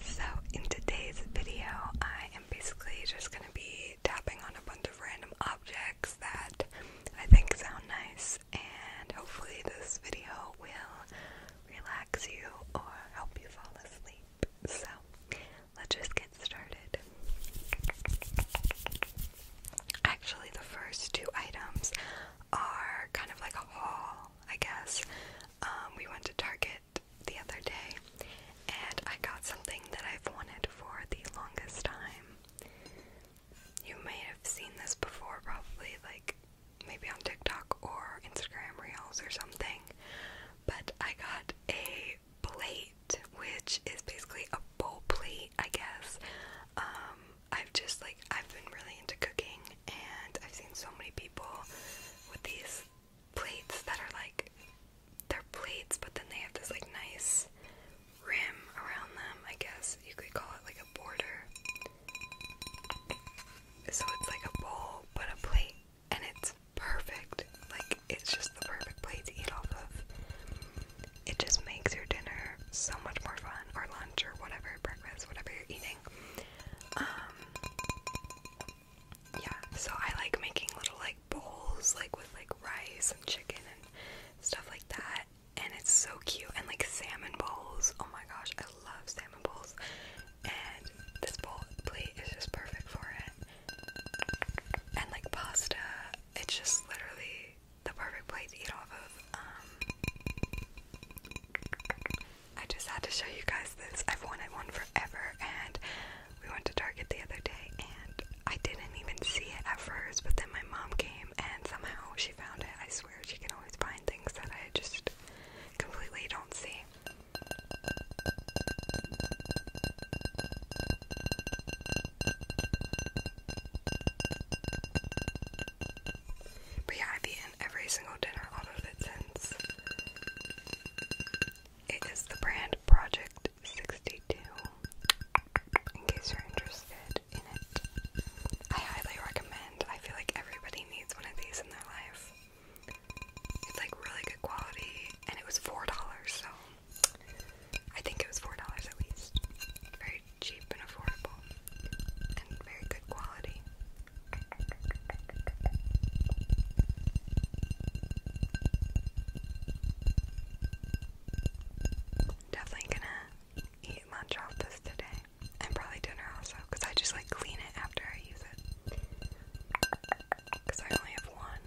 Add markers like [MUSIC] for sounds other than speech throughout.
so, in today's video, I am basically just going to be tapping on a bunch of random objects that I think sound nice, and hopefully, this video will relax you or help you fall asleep. So, let's just get started. Actually, the first two items are kind of like a haul, I guess. Um, we went to Target the other day, and I got something that I've wanted for the longest time. You may have seen this before, probably, like maybe on TikTok or Instagram Reels or something, but I got a plate, which is basically a bowl plate, I guess. Um, I've just like, I've been really into cooking, and I've seen so many people with these plates that are like they're plates, but then they have this like nice rim around them. I guess you could call it like a border. So it's like a bowl, but a plate, and it's perfect. Like it's just the perfect plate to eat off of. It just makes your dinner so much more fun, or lunch, or whatever, breakfast, whatever you're eating. Um, yeah, so I like making little like bowls like with like rice and chicken and stuff like that. And it's so cute and like salmon bowls. Oh my gosh, I love salmon bowls. And this bowl plate is just perfect for it. And like pasta, it's just literally the perfect plate to eat off of. Um, I just had to show you guys this. I've wanted one forever, and we went to Target the other day, and I didn't even see it at first, but then my mom came, and somehow she found it. I swear, she can always find things that I just completely don't see. But yeah, i every single dinner out of it since. It is the brand Project 62, in case you're interested in it. I highly recommend. I feel like everybody needs one of these in their life. It's like really good quality, and it was $4, so I think it was $4 at least. Very cheap and affordable, and very good quality. Definitely gonna eat lunch off this today, and probably dinner also, I just like clean it after I use it. I only have one.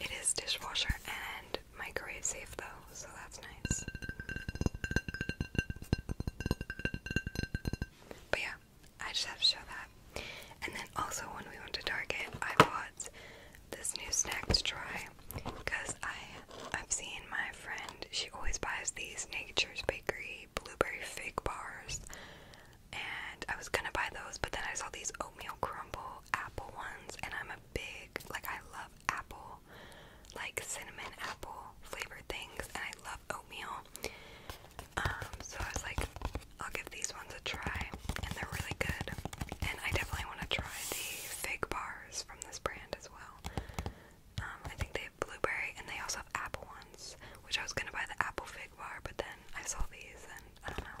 It is dishwasher and microwave safe, though, so that's nice. But yeah, I just have to show that. And then also when we went to Target, I bought this new snack to try because I I've seen my friend she always buys these Nature's Bakery blueberry fig bars, and I was gonna buy those, but then I saw these oatmeal crumble apple ones, and I'm big like I love apple, like cinnamon apple flavored things, and I love oatmeal. Um, so I was like, I'll give these ones a try, and they're really good. And I definitely want to try the fig bars from this brand as well. Um, I think they have blueberry, and they also have apple ones, which I was gonna buy the apple fig bar, but then I saw these, and I don't know.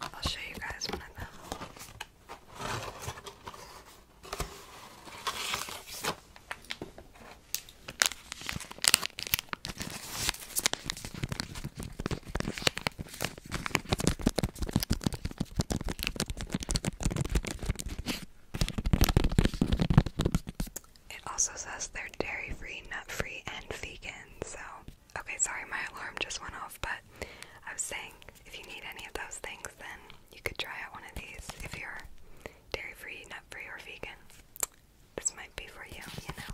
I'll show you guys one of them. It also says they're dairy free, nut free, and vegan. So, okay, sorry, my alarm just went off, but I was saying if you need any of those things, then you could try out one of these if you're dairy free, nut free, or vegan. This might be for you, you know.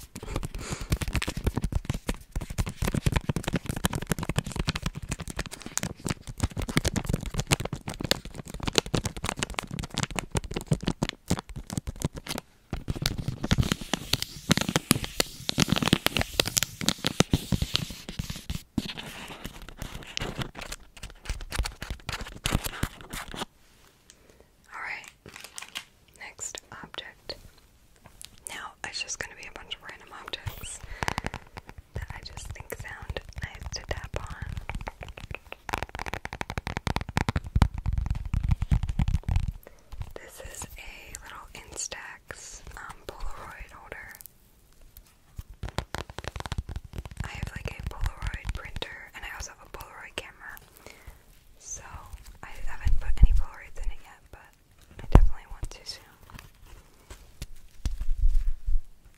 All right. Next object. Now, it's just going to be a bunch of random objects that I just think sound nice to tap on. This is a little Instax um, Polaroid holder. I have like a Polaroid printer and I also have a Polaroid camera. So I haven't put any Polaroids in yet, but I definitely want to soon.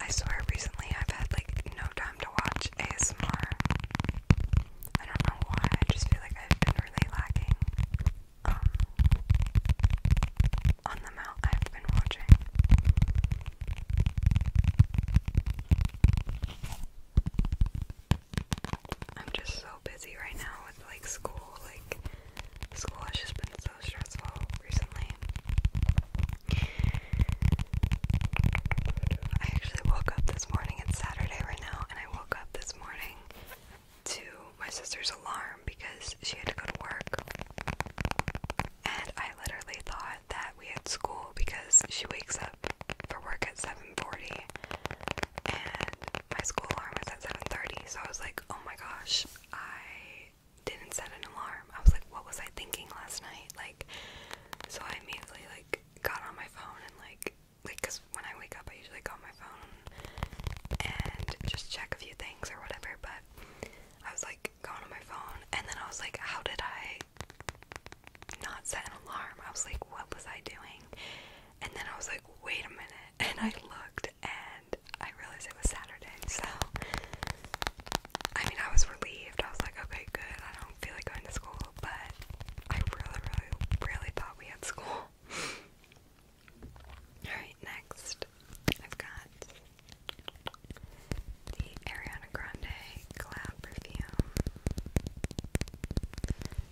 I swear recently I've had like no time to watch ASMR. I don't know why, I just feel like I've been really lacking um on the amount I've been watching. I'm just so busy right now with like school, like school has just been so stressful recently. I actually woke up this morning, it's Saturday right now, and I woke up this morning to my sister's alarm because she had to go to work. And I literally thought that we had school because she wakes up for work at 7:40 and my school alarm was at 7:30. So I was like, "Oh my gosh, I didn't set an alarm. I was like, what was I thinking last night? Like, so I immediately like got on my phone and like, like, cause when I wake up, I usually go on my phone and just check a few things or whatever. But I was like going on my phone, and then I was like, how did I not set an alarm? I was like, what was I doing? And then I was like, wait a minute, [LAUGHS] and I looked and I realized it was Saturday, so I mean I was relieved. I was like, okay, good, I don't feel like going to school, but I really, really, really thought we had school. [LAUGHS] Alright, next I've got the Ariana Grande Collab Perfume.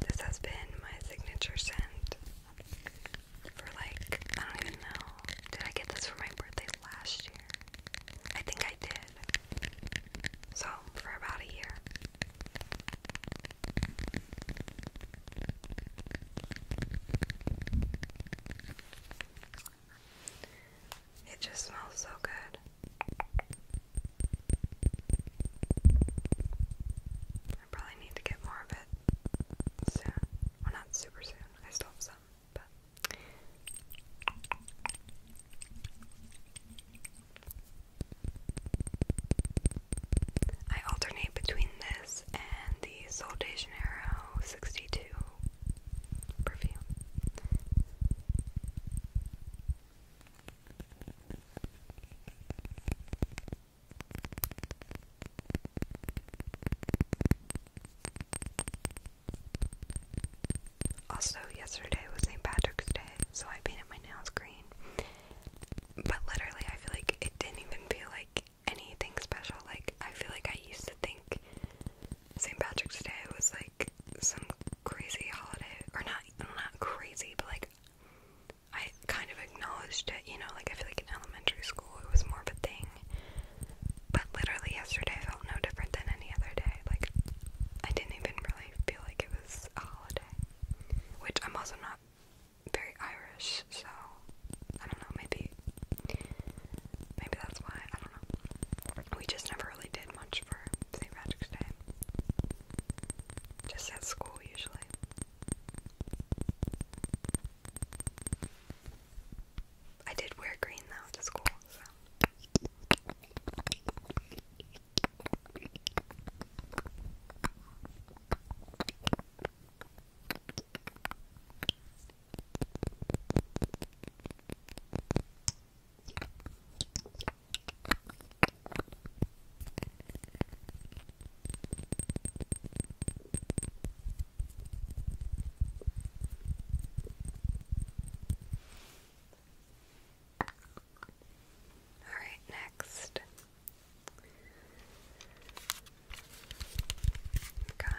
This has been my signature scent for like, I don't even know. Did I get this for my birthday last year? I think I did. So, for about a year. It just smells so good. I probably need to get more of it soon. Well, not super soon. I still have some, but. I alternate between this and the Sol 62 perfume. Also, yesterday was St. Patrick's Day, so I painted my nails green. But literally, I feel like it didn't even feel like anything special. Like, I feel like I used to think St. Patrick's Day was like some crazy holiday. Or not, not crazy, but like I kind of acknowledged it, you know, like I feel like in elementary school it was more of a thing. But literally yesterday I felt no different than any other day. Like I didn't even really feel like it was a holiday. Which I'm also not very Irish, so I don't know, maybe maybe that's why, I don't know. We just never really did much for St. Patrick's Day. Just at school usually. I did wear green though to school, all right, next. Got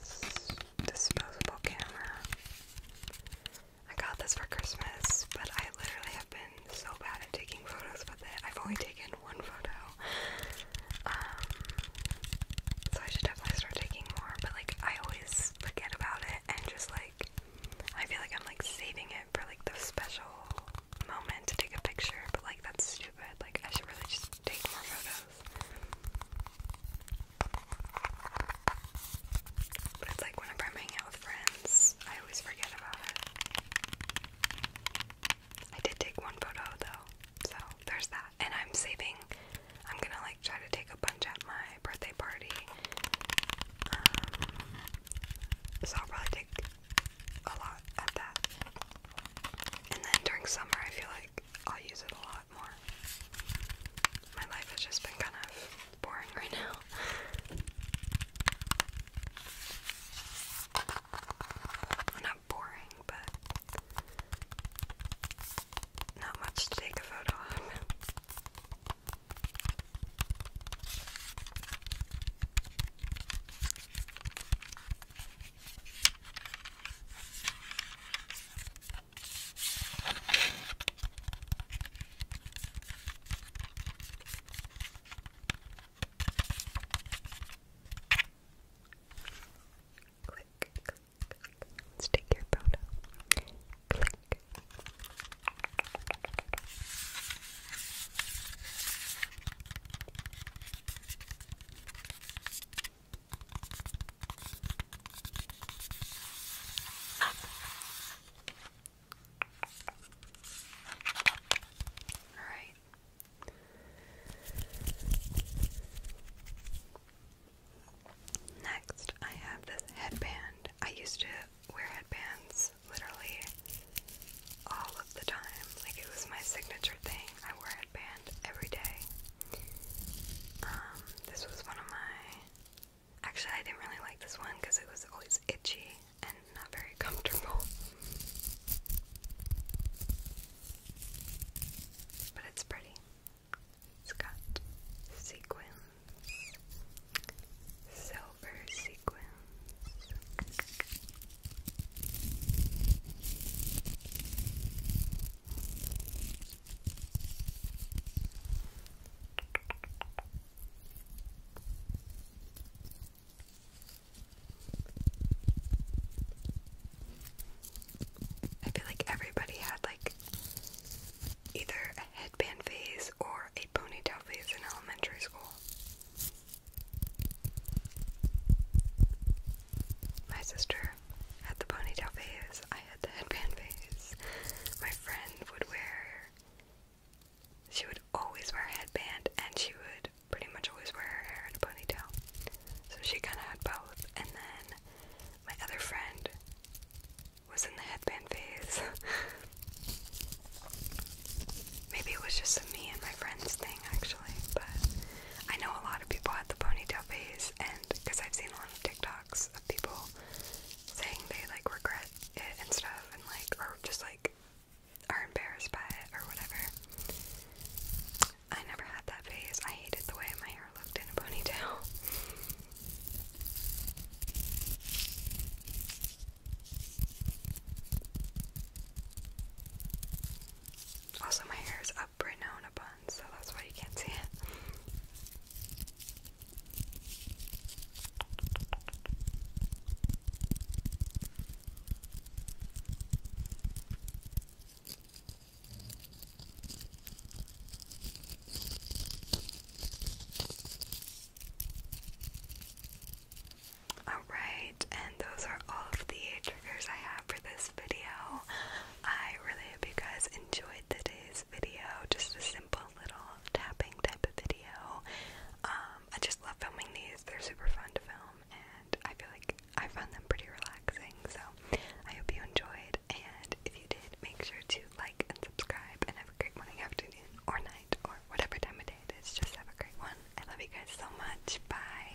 this disposable camera. I got this for Christmas, but I literally have been so bad at taking photos with it. I've only taken one photo. Um, so I should definitely start taking more, but like I always forget about it and just like I feel like I'm like saving it for like the special moment to take a picture, but like that's stupid. Like I should really just take more photos. But it's like whenever I'm hanging out with friends, I always forget about it. I did take one photo though, so there's that. And I'm saving, I'm gonna like try to take a bunch at my birthday party. Um, so I'll probably take a lot at that. And then during summer, I feel like I'll use it a lot more. My life has just been kind of boring right now. not boring, but not much to take a photo on. Click, click, click. Let's take your photo. Click. Alright. Next, I have this headband. I used to wear headbands literally all of the time. Like, it was my signature thing. I wore a headband every day. Um, this was one of my Actually, I didn't really like this one because it was always itchy and not very comfortable. But it's pretty. It's got sequins, silver sequins. I feel like everybody had like either a headband phase or a ponytail phase in elementary school. My sister had the ponytail phase because I had the headband phase. My friend would wear, she would always wear a headband and she would pretty much always wear her hair in a ponytail. So she kind of had both. And then my other friend was in the headband phase. [LAUGHS] Maybe it was just a me and my friends thing actually, but I know a lot of people had the ponytail phase and because I've seen a lot of TikToks people saying they like regret it and stuff and like or just like are embarrassed by it or whatever. I never had that phase. I hated the way my hair looked in a ponytail. [LAUGHS] Also, my hair is up got Brita on a bun, so that's why you can't see it. Alright, and those are all of the triggers I have for this video. I really hope you guys enjoyed today's video. Just a simple little tapping type of video. Um, I just love filming these. They're super fun to film, and I feel like I found them pretty relaxing. So I hope you enjoyed, and if you did, make sure to like and subscribe. And have a great morning, afternoon, or night, or whatever time of day it is. Just have a great one. I love you guys so much. Bye.